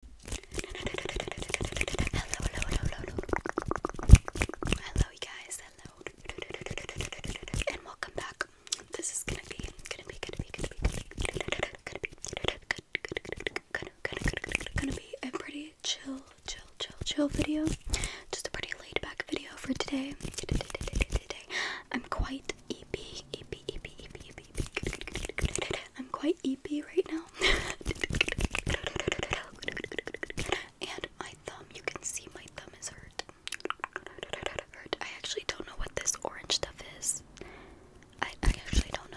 Hello, hello, hello, hello, hello. you guys. Hello. And welcome back. This is gonna be, gonna be, gonna be, gonna be, gonna be, gonna be a pretty chill, chill, chill, chill video. Just a pretty laid back video for today. I'm quite EP, EP, EP, EP, EP, I'm quite eepy right now. and my thumb, you can see my thumb is hurt. I actually don't know what this orange stuff is. I, actually don't know.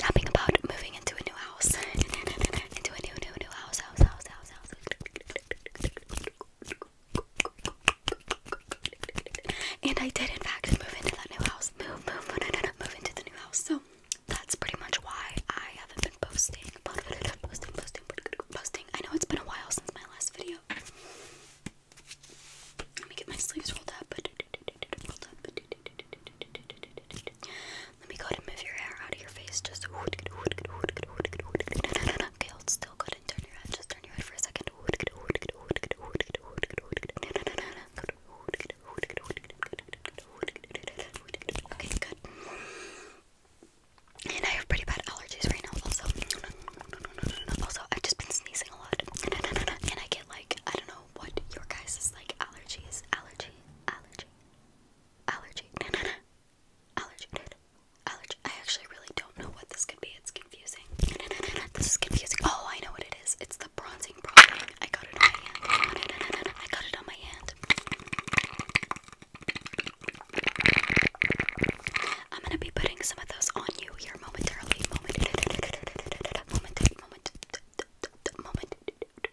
yapping about moving into a new house. into a new, new, new house, house, house, house, house. And I did, in fact, move into that new house. Move, move, move, no, move into the new house. So that's pretty much why I haven't been posting. Posting, posting, posting. I know it's been a while since my last video. Let me get my sleeves rolled up. Let me go and move your hair out of your face. Just okay, hold still. Go and turn your head. Just turn your head for a second. Okay, good. And I have pretty bad allergies right now. Also, also I've just been sneezing a lot, and I get like I don't know what your guys' like allergies, allergy allergy, allergy, no, no, allergy, I actually really don't know what this could be. It's confusing. This is confusing. Oh, I know what it is. It's the bronzing product. I got it on my hand. I got it on my hand. I'm gonna be putting some of those on you here momentarily. moment,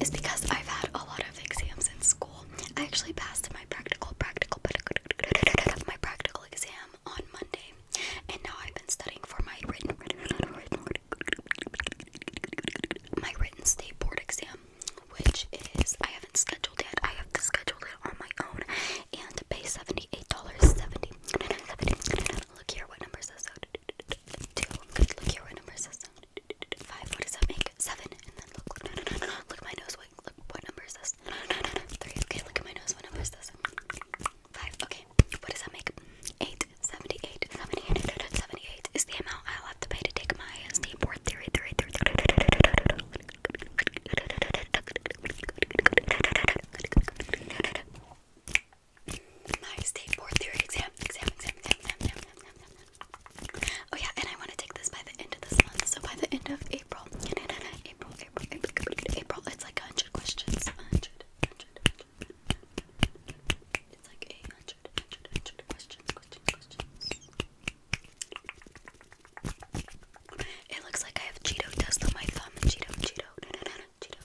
is because I've had a lot of exams in school. I actually passed my practical, practical, my practical exam on Monday, and now I've been studying for my written, my written state board exam, which is I haven't scheduled it. I have to schedule it on my own and pay seventy-eight dollars seventy. Look here, what number says Two. Look here, what number says so? five. What does that make? Seven. And then look, look, look, no, Look my nose. Wait, look, what number is this? Three. Okay, look at my nose. What number is this? Five. Okay. What does that make? Eight. Seventy-eight. Seventy-eight. Seventy-eight is the amount I'll have to pay to take my ST board theory. Theory. Nice day four theory exam. Exam, exam, exam, exam, exam, exam, exam. Oh yeah, and I want to take this by the end of this month. So by the end of April, April, April, April, April. It's like a hundred questions. A hundred, hundred, hundred. It's like a hundred, hundred, hundred questions, questions, questions. It looks like I have Cheeto dust on my thumb. Cheeto, Cheeto, na, na, na, Cheeto,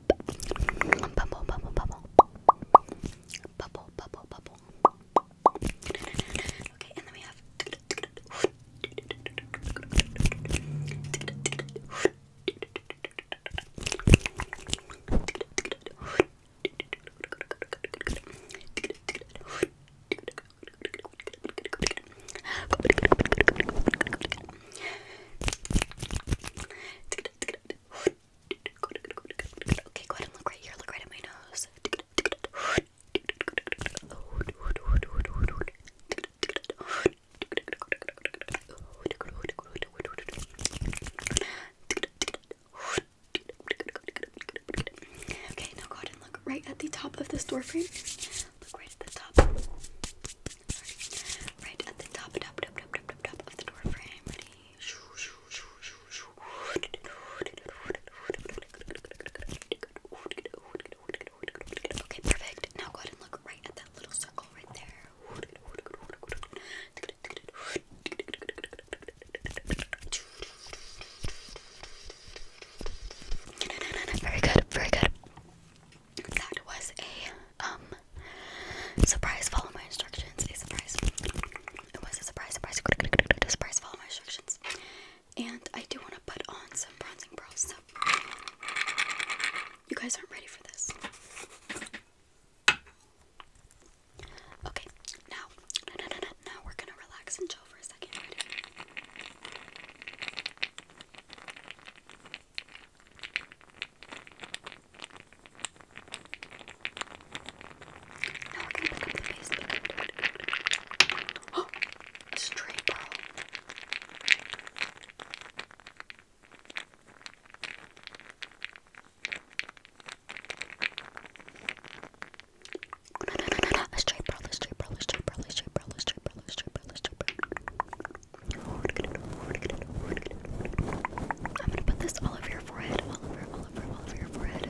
bubble, bubble, bubble, bubble, bubble, bubble. Okay, and then we have. Okay, go ahead and look right here. Look right at my nose. Okay, now go ahead and look right at the top of this door frame. Look right at the top. Right at the top, top, top, top, top, top, of the door Ready? Okay, perfect. Now go ahead and look right at that little circle right there. Very good, very good. That was a um, surprise, follow my instructions. It was a surprise, surprise, surprise, follow my instructions. And I do want to put on some bronzing pearls. you guys aren't ready for this. Okay, now, now we're gonna relax and chill for a second. Now I can pick up the face. Oh, stray bro. No, no, no, no, no. A straight bro, a straight bro, a straight bro, a straight bro, a straight bro, a straight bro, a straight bro. I'm gonna put this all over your forehead, all over, all over, all over your forehead.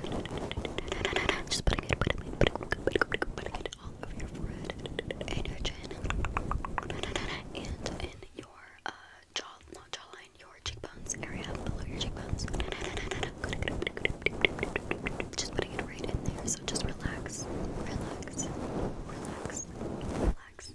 Just putting it, putting it, putting it, putting it, all over your forehead and your chin, and in your uh, jaw, not jawline, your cheekbones area below your cheekbones. Just putting it right in there. So just relax, relax, relax, relax.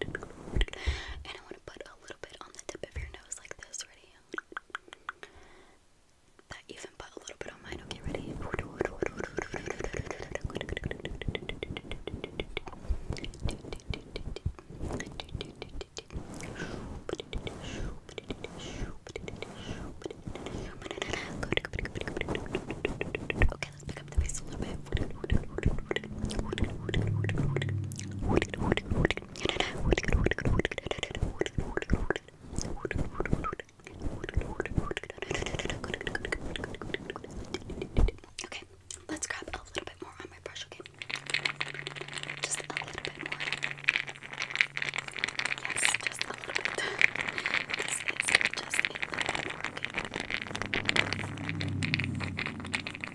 And I want to put a little bit on the tip of your nose like this. Ready? That even put a little bit on mine. Okay, ready? Okay, let's pick up the pace a little bit. Okay, let's grab a little bit more on my brush, okay? Just a little bit more. Yes, just a little bit. This is just a little bit more, okay?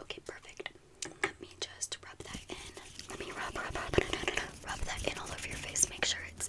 Okay, perfect. Let me just rub that in. Let me rub, rub, rub, rub that in all over your face. Make sure it's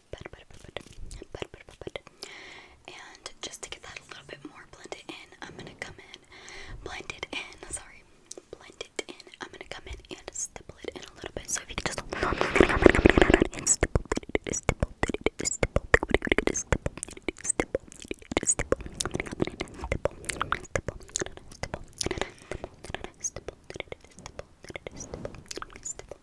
and just to get that a little bit more blended in, I'm gonna come in, blend it in, sorry, blend it in, I'm gonna come in and stipple it in a little bit, so if you can just and stipple it, stipple it, stipple it, stipple it, stipple it, stipple it, stipple it, stipple it, stipple it, stipple it, stipple it, stipple it, stipple it, stipple it, stipple it, stipple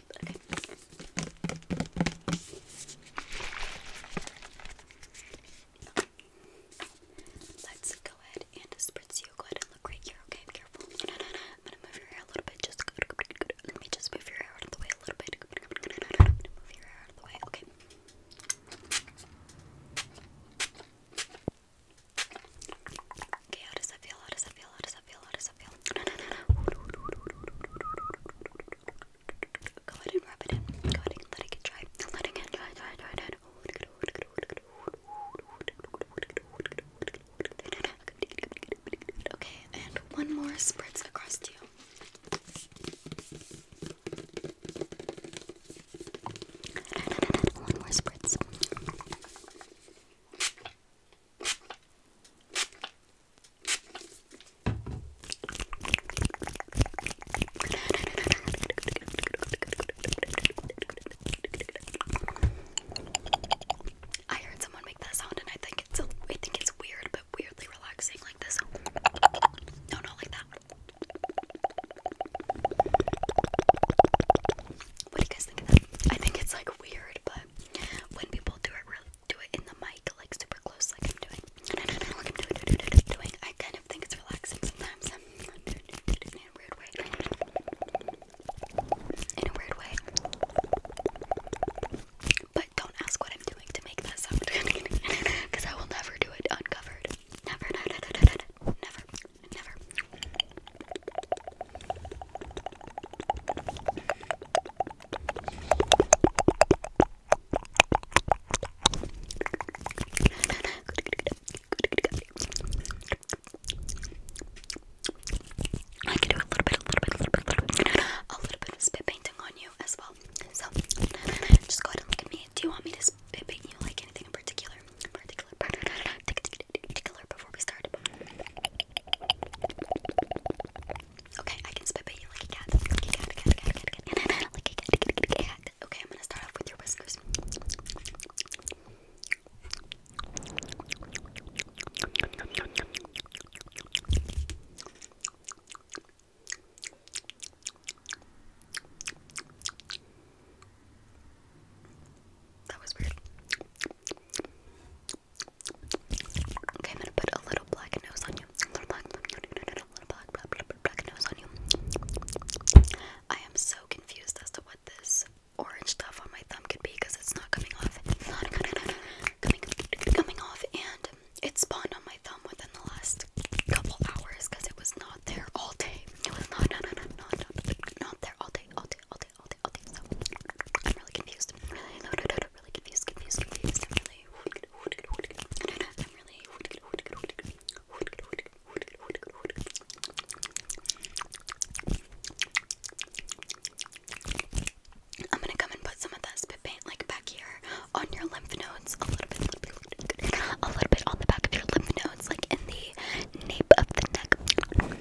it Let's go ahead and spritz you. Go ahead and look right here. Okay, careful. I'm gonna move your hair a little bit. Just let me just move your hair out of the way a little bit. I'm going move your hair out of the way. Okay. Okay, how does that feel? How does that feel? How does that feel? How does that feel? Go ahead and rub it in. Go ahead and let it get dry. Let it get dry, dry, dry, dry. Okay, and one more spritz across to you. One more spritz. I heard someone make that sound, and I think it's weird, but weirdly relaxing, like this. No, not like that. What do you guys think of that? I think it's like weird, but when people do it do it in the mic like super close like I'm doing. Like I'm doing, doing, doing, doing. I kind of think it's relaxing sometimes. In a weird way. In a weird way. But don't ask what I'm doing to make that sound. Because I will never do it uncovered. Never, never, never, never, never. I can do a little bit, a little bit, a little bit, a little bit, a little bit of spit painting on you as well. So just go ahead and look at me. Do you want me to spit paint you like anything in particular? particular, Okay, I can spit you like Like a cat. Okay, I'm gonna start off with your whiskers. That was weird. Okay, I'm gonna put a little black nose on you. little black, no, no, no, no, little black, black, black, black nose on you. I am so confused as to what this orange stuff on my thumb could be because it's not coming off. not coming, coming off, and it spawned on my thumb within the last couple hours because it was not there all day. It was not, not, not, not, not, there all day, all day, all I'm really confused. I'm really, really confused, confused, confused. I'm really, I'm gonna come and put some of that spit paint like back here on your lymph nodes, a little bit, a little bit on the back of your lymph nodes, like in the nape of the neck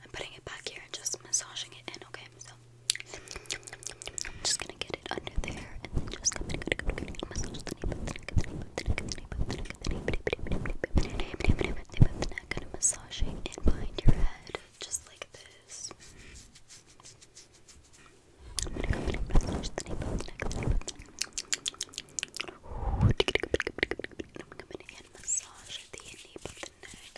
I'm putting it back here just massaging it in, okay? So I'm just gonna get it under there and just come and massage the behind your head, just like this. and massage and massage the nape of the neck.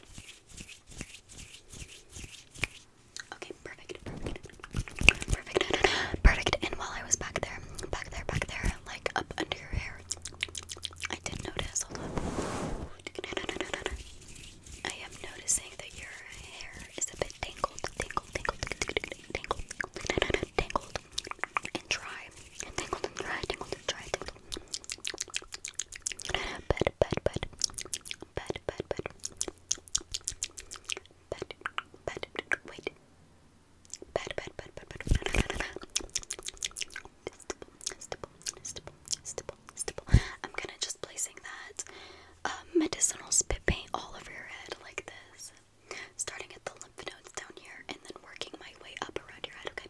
Okay, perfect, perfect, perfect, perfect. And while I was back there, back there, back there, like up under your hair, I did notice. I am noticing that your hair is a bit tangled, tangled, tangled, tangled, tangled, tangled, and dry, tangled and dry, tangled and dry, tangled but but but but but but but but wait but but but but but I'm gonna just placing that um, medicinal spit paint all over your head like this starting at the lymph nodes down here and then working my way up around your head okay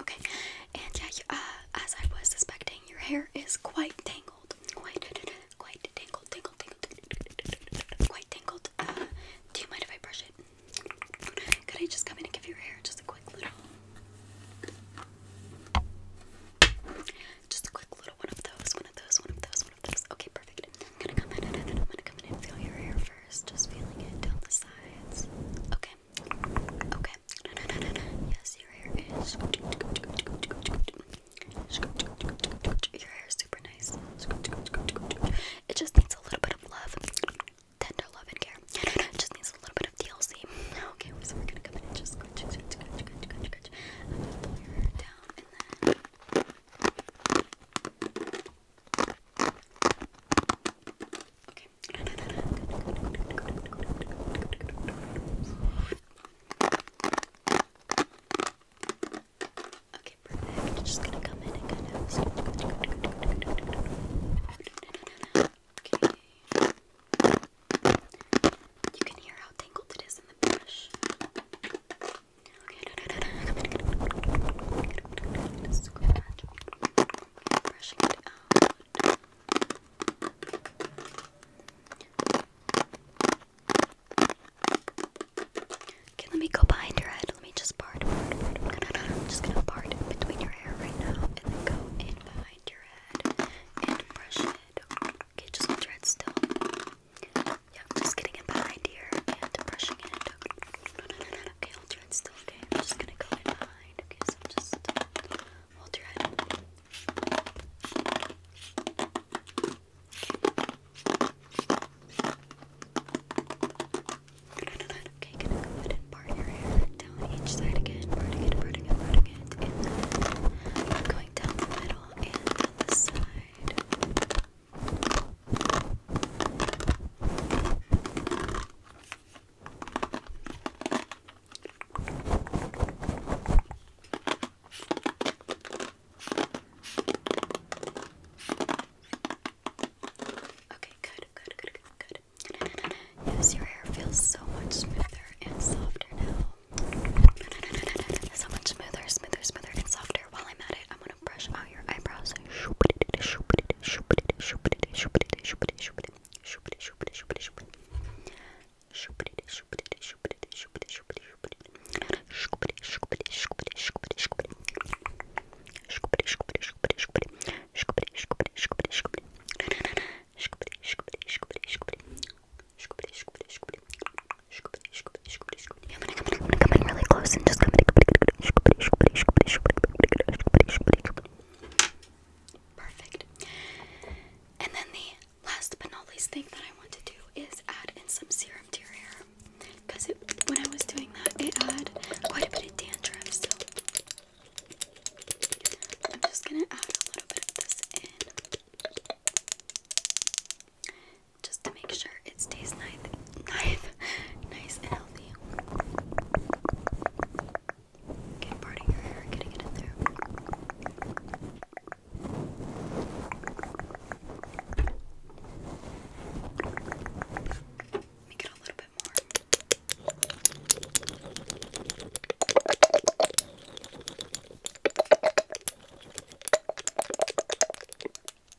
Okay, and yeah, uh, as I was suspecting, your hair is quite tangled, quite, quite tangled, tangled, tangled, quite tangled. Uh, do you mind if I brush it? Could I just come in and give your hair just a quick little, just a quick little one of those, one of those, one of those, one of those? Okay, perfect. I'm gonna come in and I'm gonna come in and feel your hair for just feeling it down the sides. Okay. Okay. Yes, your hair is. Your hair is super nice. It just needs a little bit of love, tender love and care. just needs a little bit of DLC. Okay, we're gonna come in and just pull your hair down and then. Okay. Okay, perfect. Just gonna come in and kind of. Okay. You can hear how tangled it is in the brush. Okay. Just scratch brushing it out. Okay, let me go behind your head. Let me just part, part, part. I'm, just gonna part between your hair right now, and then go in behind your head and brush it. Okay, just hold your head still. Yeah, just getting it behind here and brushing it. No, no, no, no. Okay, hold your head still, okay? I'm just gonna go in behind, okay? So just hold your head. Okay. No, no, no, no. Okay, gonna go ahead and part your hair down each side again, parting it, parting it, parting it, and then I'm going down the middle and down the side. Okay. Okay, good, good, good, good, good. Yes, your hair feels so much smoother and softer now. So much smoother, smoother, smoother, and softer. While I'm at it, I'm gonna brush on now your eyebrows. I'm gonna come in, I'm gonna come in really close and just come in. Perfect. And then the last but not least thing that I want to do is add in some serum to your hair. Because when I was doing that, it had quite a bit of dandruff. So I'm just going to add a little bit of this in. Just to make sure it stays nice knife nice and healthy. Okay, parting your hair, getting it in there. Make it a little bit more.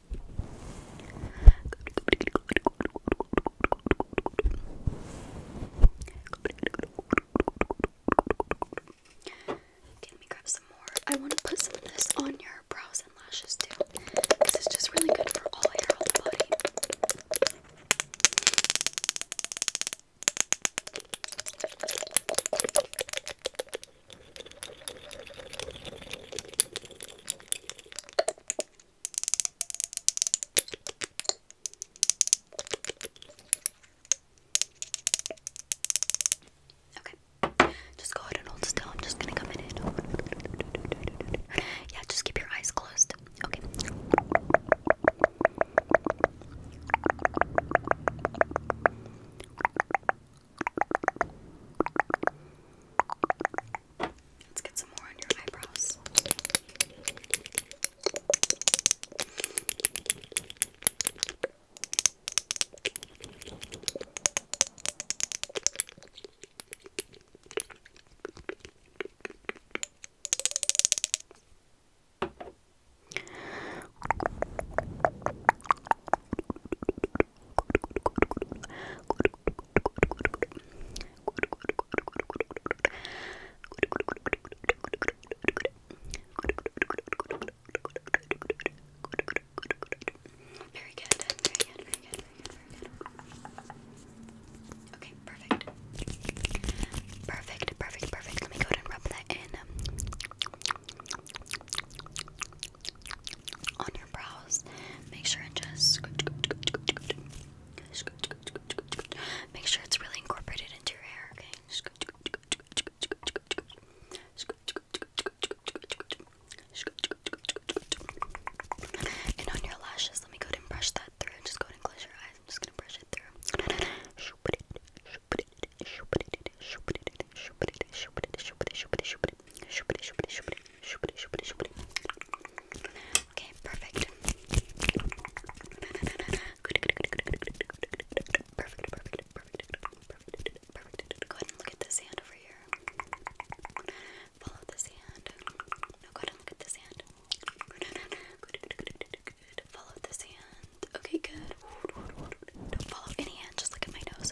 Okay, let me grab some more. I want to put some of this on your brows and lashes too, because it's just really good for all hair, all the body. Okay, just go ahead and hold still. I'm just gonna come in and yeah, just keep your eyes closed. Okay. Let's get some more on your eyebrows. Very good. Very good. Very good. Very good. Okay, perfect. Perfect. Perfect. Perfect. Let me go ahead and rub that in on your brows. Make sure and just make sure it's really incorporated into your hair. Okay. And on your lashes, let me go ahead and brush that through. Just go ahead and close your eyes. I'm just gonna brush it through. Okay, perfect. Perfect, perfect, perfect, perfect, Go ahead look at this hand over here. Follow this hand. go ahead look at this hand. Follow this hand. Okay, good. Don't follow any hand, just look at my nose,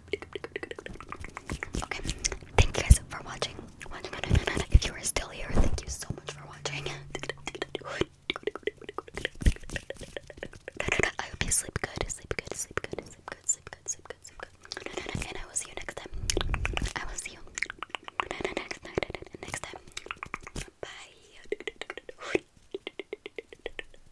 Okay, thank you guys for watching. If you are still here, thank you so much for watching. I hope you sleep good, sleep good, sleep good, sleep good, sleep good, sleep good, sleep good. And I will see you next time. I will see you next time. Next time. Bye.